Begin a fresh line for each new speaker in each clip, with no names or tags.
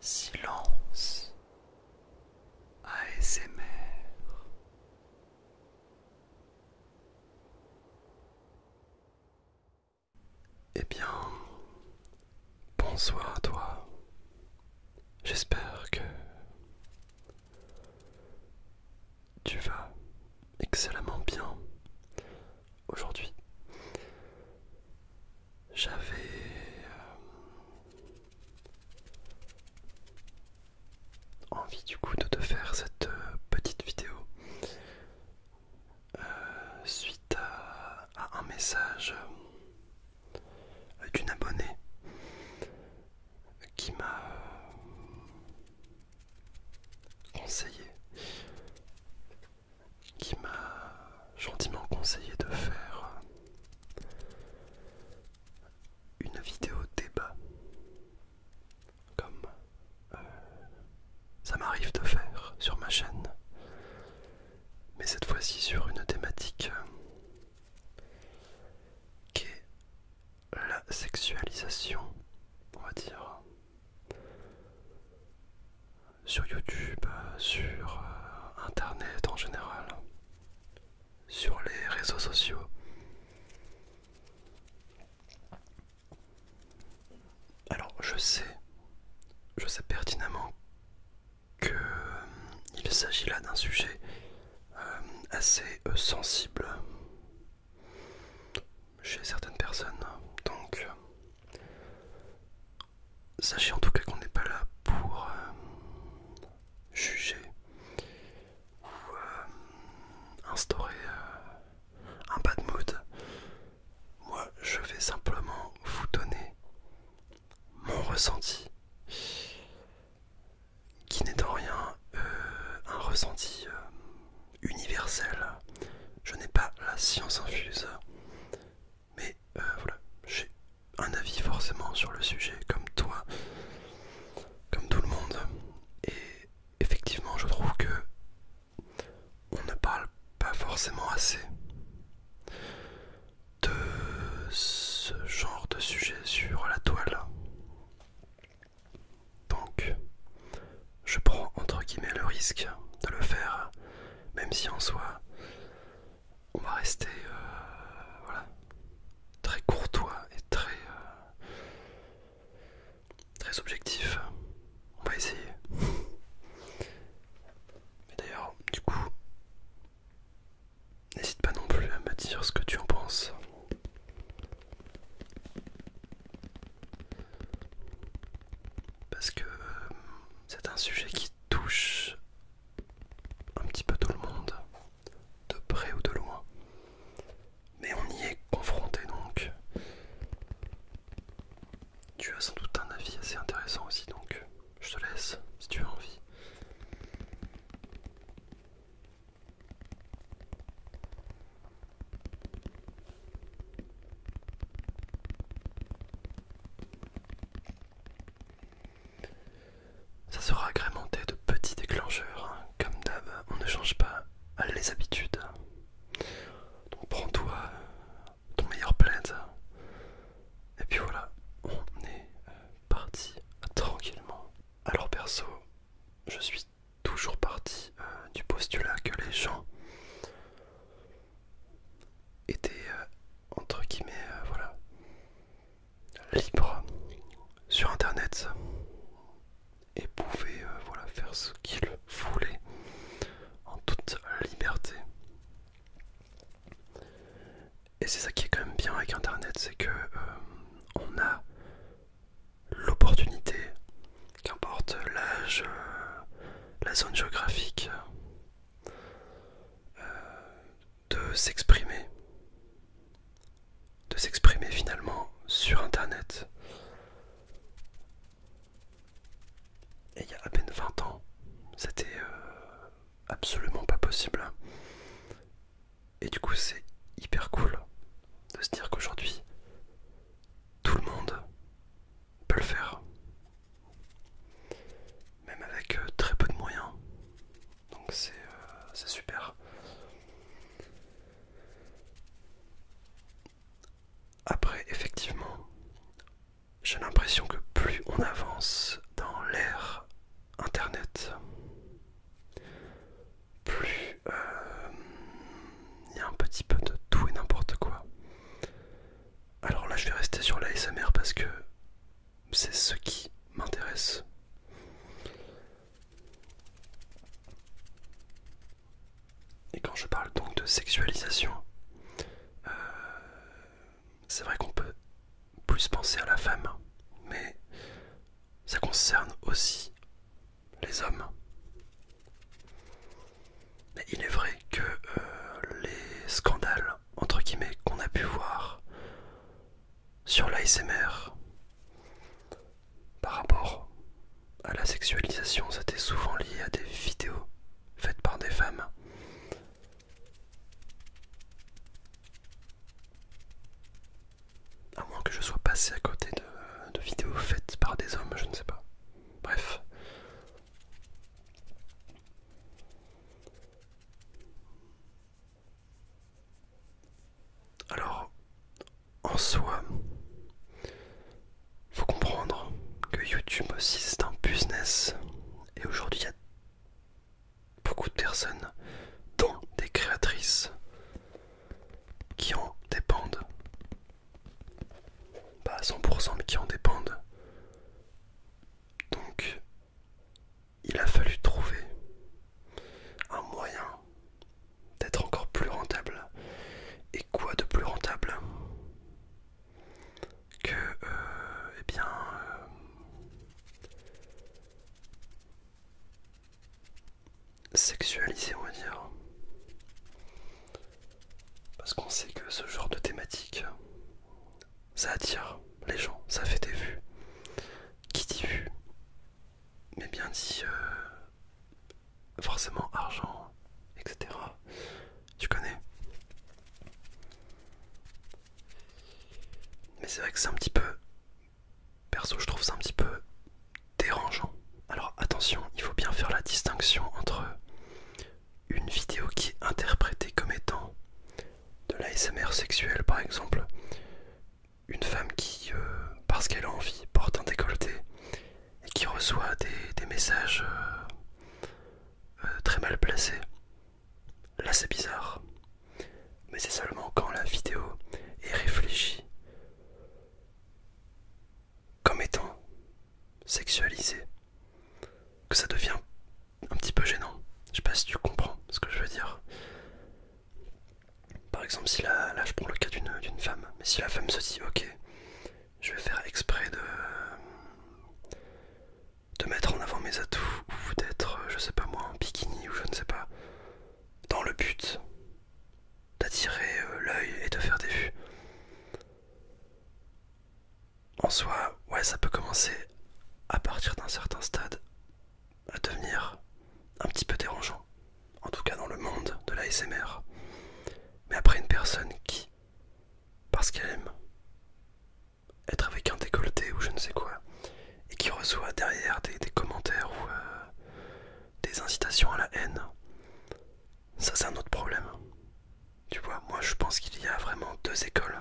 Silence ASMR Eh bien, bonsoir à toi. J'espère que tu vas excellemment bien aujourd'hui. J'avais... Euh, envie du coup de te faire cette euh, petite vidéo euh, suite à un message d'une abonnée qui m'a conseillé qui m'a gentiment conseillé de faire une vidéo débat comme euh, ça m'arrive de faire sur ma chaîne mais cette fois-ci sur une thématique euh, qui est la sexualisation on va dire sur YouTube, sur euh, Internet en général, sur les réseaux sociaux. Alors je sais, je sais pertinemment qu'il euh, s'agit là d'un sujet euh, assez sensible chez certaines personnes. Donc, euh, sachez en tout cas qu'on n'est pas là pour euh, juger ou euh, instaurer un bad mood. Moi, je vais simplement vous donner mon ressenti qui n'est en rien un ressenti universelle. Je n'ai pas la science infuse, mais euh, voilà, j'ai un avis forcément sur le sujet, comme toi, comme tout le monde. Et effectivement, je trouve que on ne parle pas forcément assez de ce genre de sujet sur la toile. Donc, je prends entre guillemets le risque de le faire, même si en soi, on va rester euh, très courtois et très, euh, très objectif. On va essayer. Mais d'ailleurs, du coup, n'hésite pas non plus à me dire ce que tu en penses. Parce que euh, c'est un sujet qui touche un petit peu tout le monde, de près ou de loin. Mais on y est confronté donc. Tu as sans doute un avis assez intéressant aussi donc. Je te laisse si tu as envie. Ça sera agrémenté de petits déclencheurs. Hein. Comme d'hab, on ne change pas les habitudes. Donc prends-toi ton meilleur plaid. Et puis voilà, on est euh, parti tranquillement. Alors perso, je suis toujours parti euh, du postulat que les gens étaient euh, entre guillemets euh, voilà libres sur internet et pouvaient voilà faire ce qu'ils voulaient en toute liberté et c'est ça qui est quand même bien avec internet c'est que on a l'opportunité, qu'importe l'âge, euh, la zone géographique, euh, de s'exprimer, de s'exprimer finalement sur Internet. Et il y a à peine 20 ans, c'était euh, absolument pas possible. Et du coup, c'est hyper cool de se dire qu'aujourd'hui, tout le monde peut le faire. Même avec euh, très peu de moyens. Donc euh, c'est super. Après, effectivement, j'ai l'impression que plus on avance dans l'ère Internet, plus il euh, y a un petit peu de tout et n'importe quoi. Alors là, je vais rester sur l'ASMR parce que c'est ce qui m'intéresse. Et quand je parle donc de sexualisation, euh, c'est vrai qu'on peut plus penser à la femme, mais ça concerne aussi les hommes. Mais il est vrai que euh, les scandales, entre guillemets, qu'on a pu voir sur l'ASMR par rapport à la sexualisation, c'était souvent lié à des vidéos faites par des femmes. À moins que je sois passé à côté de, vidéos faites par des hommes, je ne sais pas. Bref. Alors, en soi, faut comprendre que YouTube aussi c'est un business. Et aujourd'hui, il y a beaucoup de personnes, dont des créatrices, qui en dépendent pas à 100% mais qui en dépendent. Donc il a fallu trouver un moyen d'être encore plus rentable. Et quoi de plus rentable que, euh, eh bien, euh, sexualiser, on va dire. Parce qu'on sait que ce genre de thématique, ça attire les gens, ça fait des vues. Qui dit vues Mais bien dit euh, forcément argent, etc. Tu connais Mais c'est vrai que c'est un petit peu Perso, je trouve ça un petit peu dérangeant. Alors attention, il faut bien faire la distinction entre une vidéo qui est interprétée comme étant de l'ASMR sexuel par exemple, une femme qui, euh, parce qu'elle a envie, porte un décolleté et qui reçoit des, messages euh, euh, très mal placés. Là c'est bizarre. Mais c'est seulement quand la vidéo est réfléchie comme étant sexualisé, que ça devient un petit peu gênant. Je sais pas si tu comprends ce que je veux dire. Par exemple, si la, là je prends le cas d'une femme, mais si la femme se dit ok, je vais faire exprès de, de mettre en avant mes atouts ou d'être, je sais pas moi, un bikini ou je ne sais pas, dans le but d'attirer euh, l'œil et de faire des vues. En soi, ouais, ça peut commencer à partir d'un certain stade à devenir un petit peu dérangeant, en tout cas dans le monde de l'ASMR. Mais après une personne qui, parce qu'elle aime être avec un décolleté ou je ne sais quoi, et qui reçoit derrière des, commentaires ou euh, des incitations à la haine, ça c'est un autre problème. Tu vois, moi je pense qu'il y a vraiment deux écoles.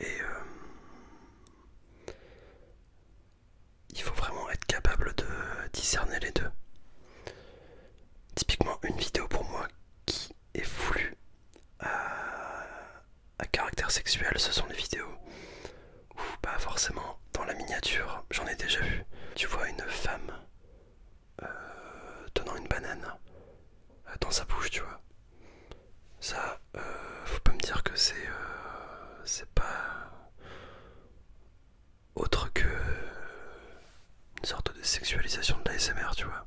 Et euh, il faut vraiment être capable de discerner les deux. Typiquement une vidéo pour moi qui est voulue à caractère sexuel, ce sont les vidéos ou pas forcément dans la miniature, j'en ai déjà vu. Tu vois une femme euh, tenant une banane euh, dans sa bouche, tu vois. Ça, euh, faut pas me dire que c'est euh, c'est pas autre que une sorte de sexualisation de l'ASMR, tu vois.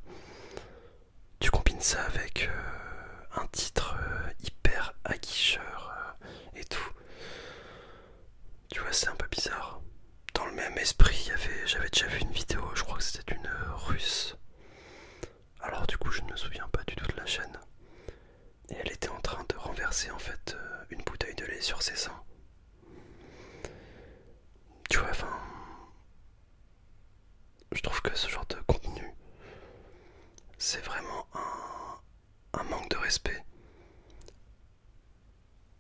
Tu combines ça avec un titre hyper aguicheur, et tout. Tu vois, c'est un peu bizarre. Dans le même esprit, y avait j'avais déjà vu une vidéo, je crois que c'était une russe. Alors du coup, je ne me souviens pas du tout de la chaîne. Et elle était en train de renverser en fait euh, une bouteille de lait sur ses seins. Tu vois, enfin... Je trouve que ce genre de contenu, c'est vraiment un, un manque de respect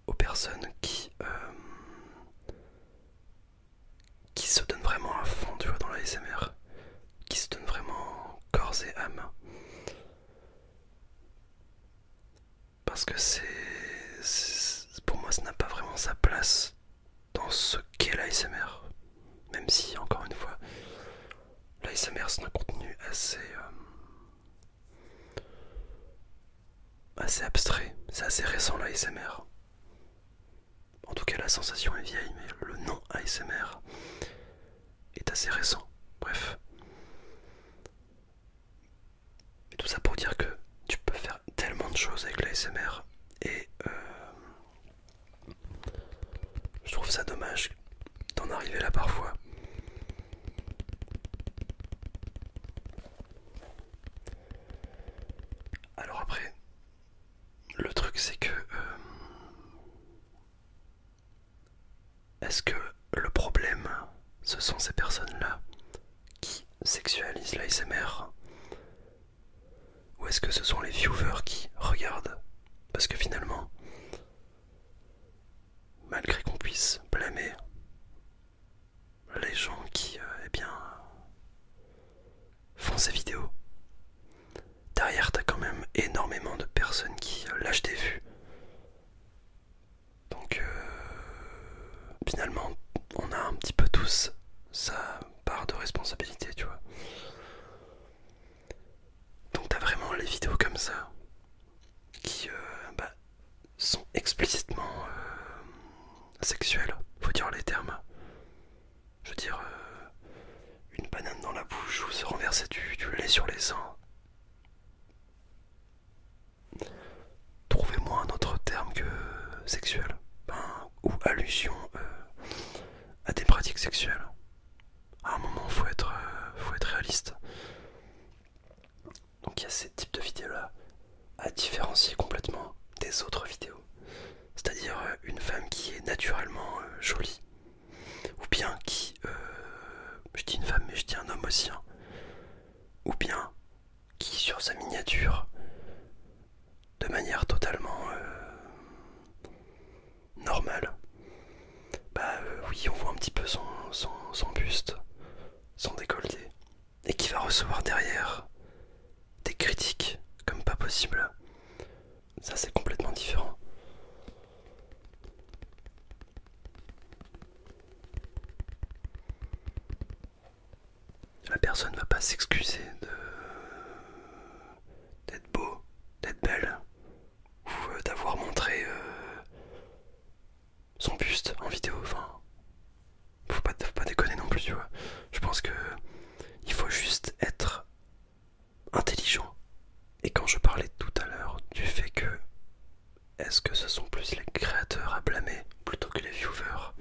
aux personnes qui euh, se donnent vraiment à fond dans la qui se donnent vraiment corps et âme parce que c'est pour moi ça n'a pas vraiment sa place dans ce qu'est l'ASMR même si, encore une fois, l'ASMR c'est un contenu assez, euh, assez abstrait, c'est assez récent l'ASMR. En tout cas, la sensation est vieille, mais le nom ASMR est assez récent. Bref. tout ça pour dire que tu peux faire tellement de choses avec l'ASMR et euh, je trouve ça dommage d'en arriver là parfois. Alors après, le truc c'est que... Euh, est-ce que le problème, ce sont ces personnes-là qui sexualisent l'ASMR ou est-ce que ce sont les viewers qui regardent Parce que finalement, malgré qu'on puisse blâmer les gens qui, euh, eh bien, font ces vidéos, derrière t'as quand même énormément de personnes qui euh, lâchent des vues. Donc, euh, finalement, on a un petit peu tous sa part de responsabilité, tu vois. Donc t'as vraiment les vidéos comme ça qui euh, bah, sont explicitement euh, sexuelles, faut dire les termes. Je veux dire, euh, une banane dans la bouche ou se renverser du, lait sur les seins. Trouvez-moi un autre terme que sexuel, ben, ou allusion à des pratiques sexuelles. À un moment, faut être, euh, faut être réaliste. Donc il y a ces types de vidéos-là à différencier complètement des autres vidéos. C'est-à-dire euh, une femme qui est naturellement euh, jolie. Ou bien qui... je dis une femme mais je dis un homme aussi. Hein, ou bien qui sur sa miniature de manière totalement euh, normale. Bah euh, oui, on voit un petit peu son, son buste, son décolleté, et qui va recevoir derrière des critiques comme pas possible. Ça c'est complètement différent. La personne va pas s'excuser de d'être beau, d'être belle, ou euh, d'avoir montré euh, son buste en vidéo. Enfin, faut pas, faut pas déconner non plus, tu vois. Je pense que il faut juste être intelligent. Et quand je parlais tout à l'heure du fait que est-ce que ce sont plus les créateurs à blâmer plutôt que les viewers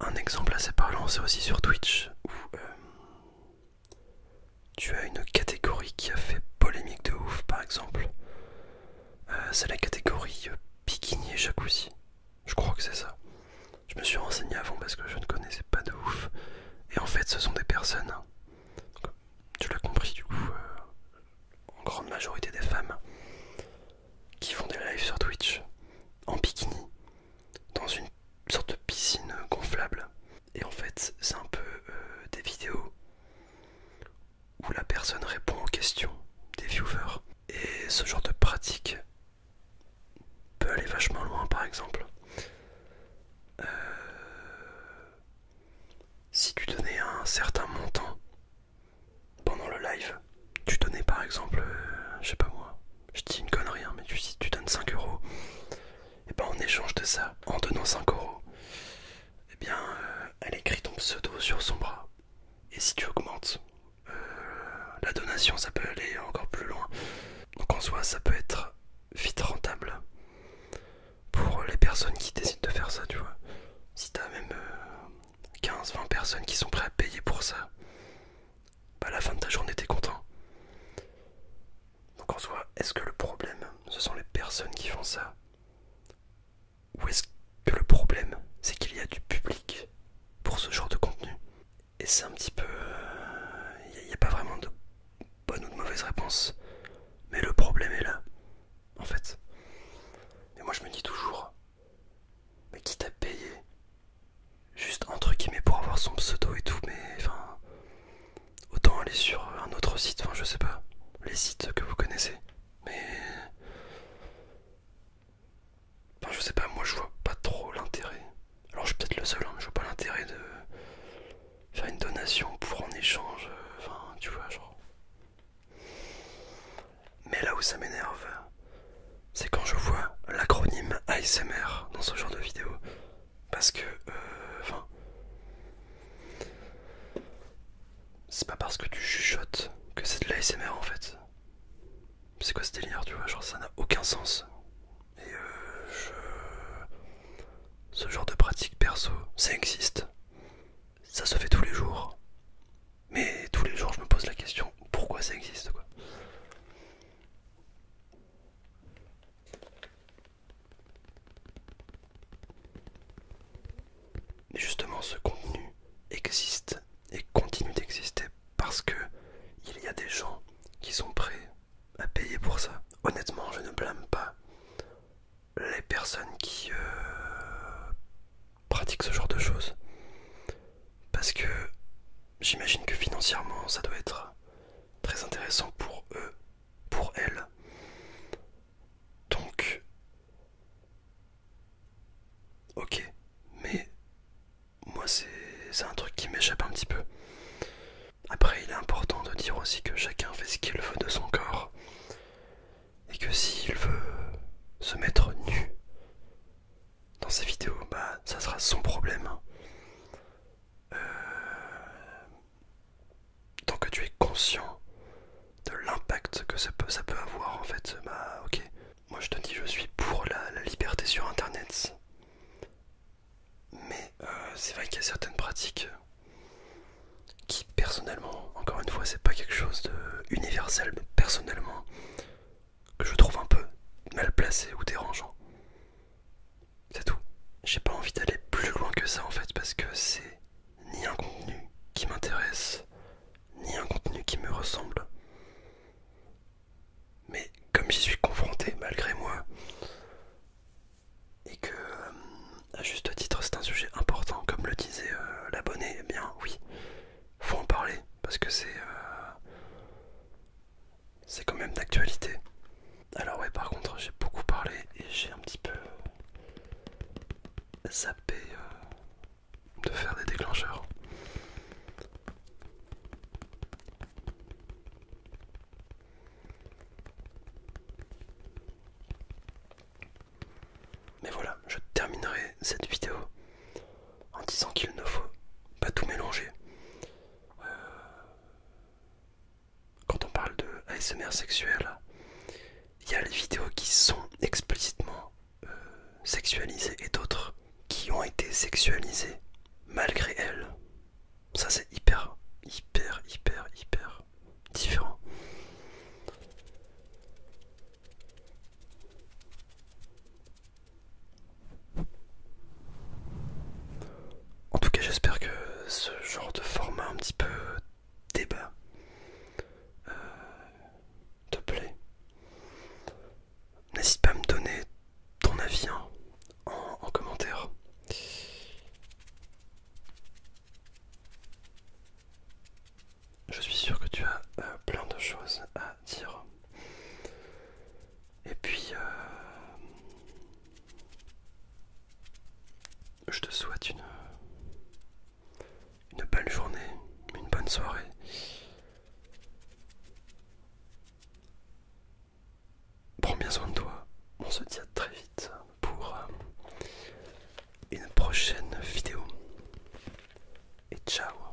un exemple assez parlant, c'est aussi sur Twitch, où euh, tu as une catégorie qui a fait polémique de ouf, par exemple. Euh, c'est la catégorie euh, bikini et jacuzzi. Je crois que c'est ça. Je me suis renseigné avant parce que je ne connaissais pas de ouf. Et en fait, ce sont des personnes, hein, tu l'as compris du coup, en grande majorité des femmes, qui font des lives sur Twitch en bikini dans une sorte de piscine gonflable. Et en fait, c'est un peu euh, des vidéos où la personne répond aux questions des viewers. Et ce genre de pratique peut aller vachement loin, par exemple. Euh, si tu donnais un certain montant pendant le live, tu donnais par exemple, euh, je sais pas moi, je dis une connerie, hein, mais tu, si tu donnes 5 euros, et eh ben en échange de ça, en donnant 5 euros, et eh bien euh, elle écrit ton pseudo sur son bras. Et si tu augmentes euh, la donation, ça peut aller encore plus loin. Donc en soi, ça peut être vite rentable pour les personnes qui décident de faire ça, tu vois. Si t'as même 15-20 personnes qui sont prêtes à payer pour ça, bah, à la fin de ta journée, t'es content. Donc en soi, est-ce que le problème, ce sont les personnes qui font ça Ou est-ce que le problème, c'est qu'il y a du public pour ce genre de contenu Et c'est un petit peu... Il euh, n'y a pas vraiment de bonne ou de mauvaise réponse. Mais le problème est là, en fait. Et moi je me dis toujours, mais qui t'a payé Juste entre guillemets pour avoir son pseudo et tout, mais enfin. Autant aller sur un autre site, enfin je sais pas. Les sites que vous connaissez. Mais. Enfin je sais pas, moi je vois pas trop l'intérêt. Alors je suis peut-être le seul, hein, je vois pas l'intérêt de faire une donation pour en échange. Euh, enfin, tu vois, genre. Mais là où ça m'énerve, c'est quand je vois l'acronyme ASMR dans ce genre de vidéo. Parce que, euh, enfin, c'est pas parce que tu chuchotes que c'est de l'ASMR en fait. C'est quoi ce délire, tu vois Genre, ça n'a aucun sens. Et euh, je. Ce genre de pratique perso, ça existe. Ça se fait tous les jours. Mais tous les jours, je me pose la question pourquoi ça existe quoi justement, ce contenu existe et continue d'exister parce que il y a des gens qui sont prêts à payer pour ça. Honnêtement, je ne blâme pas les personnes qui euh, pratique ce genre de choses. Parce que j'imagine que financièrement, ça doit être très intéressant pour eux, pour elles. Donc, ok, mais moi c'est un truc qui m'échappe un petit peu. Après, il est important de dire aussi que chacun fait ce qu'il veut de son corps et que s'il veut se mettre nu dans ses vidéos, bah ça sera son problème. Euh, tant que tu es conscient de l'impact que ça peut, avoir en fait, bah ok. Moi je te dis je suis pour la, liberté sur internet. Mais euh, c'est vrai qu'il y a certaines pratiques qui personnellement encore une fois, c'est pas quelque chose de universel, mais personnellement, que je trouve un peu mal placé ou dérangeant. C'est tout. J'ai pas envie d'aller plus loin que ça en fait, parce que c'est ni un contenu qui m'intéresse, ni un contenu qui me ressemble. Mais comme j'y suis confronté malgré moi, et que, euh, à juste titre, c'est un sujet important, comme le disait euh, l'abonné, eh bien oui, faut en parler parce que c'est euh, c'est quand même d'actualité. Alors ouais, par contre, j'ai beaucoup parlé et j'ai un petit peu zappé euh, de faire des déclencheurs. Mais voilà, je terminerai cette vidéo en disant qu'il ne faut pas tout mélanger. Euh, quand on parle de ASMR sexuel, il y a les vidéos qui sont explicitement euh, sexualisées et d'autres qui ont été sexualisées malgré elles. Ça c'est hyper, hyper, hyper, hyper différent. En tout cas, j'espère que ce genre de format un petit peu débat euh, te plaît. N'hésite pas à me donner ton avis hein, en commentaire je suis sûr que tu as euh, plein de choses à dire. Et puis, euh, je te souhaite une, une belle journée, une bonne soirée. Prends bien soin de toi. On se dit à très vite pour euh, une prochaine vidéo. Et ciao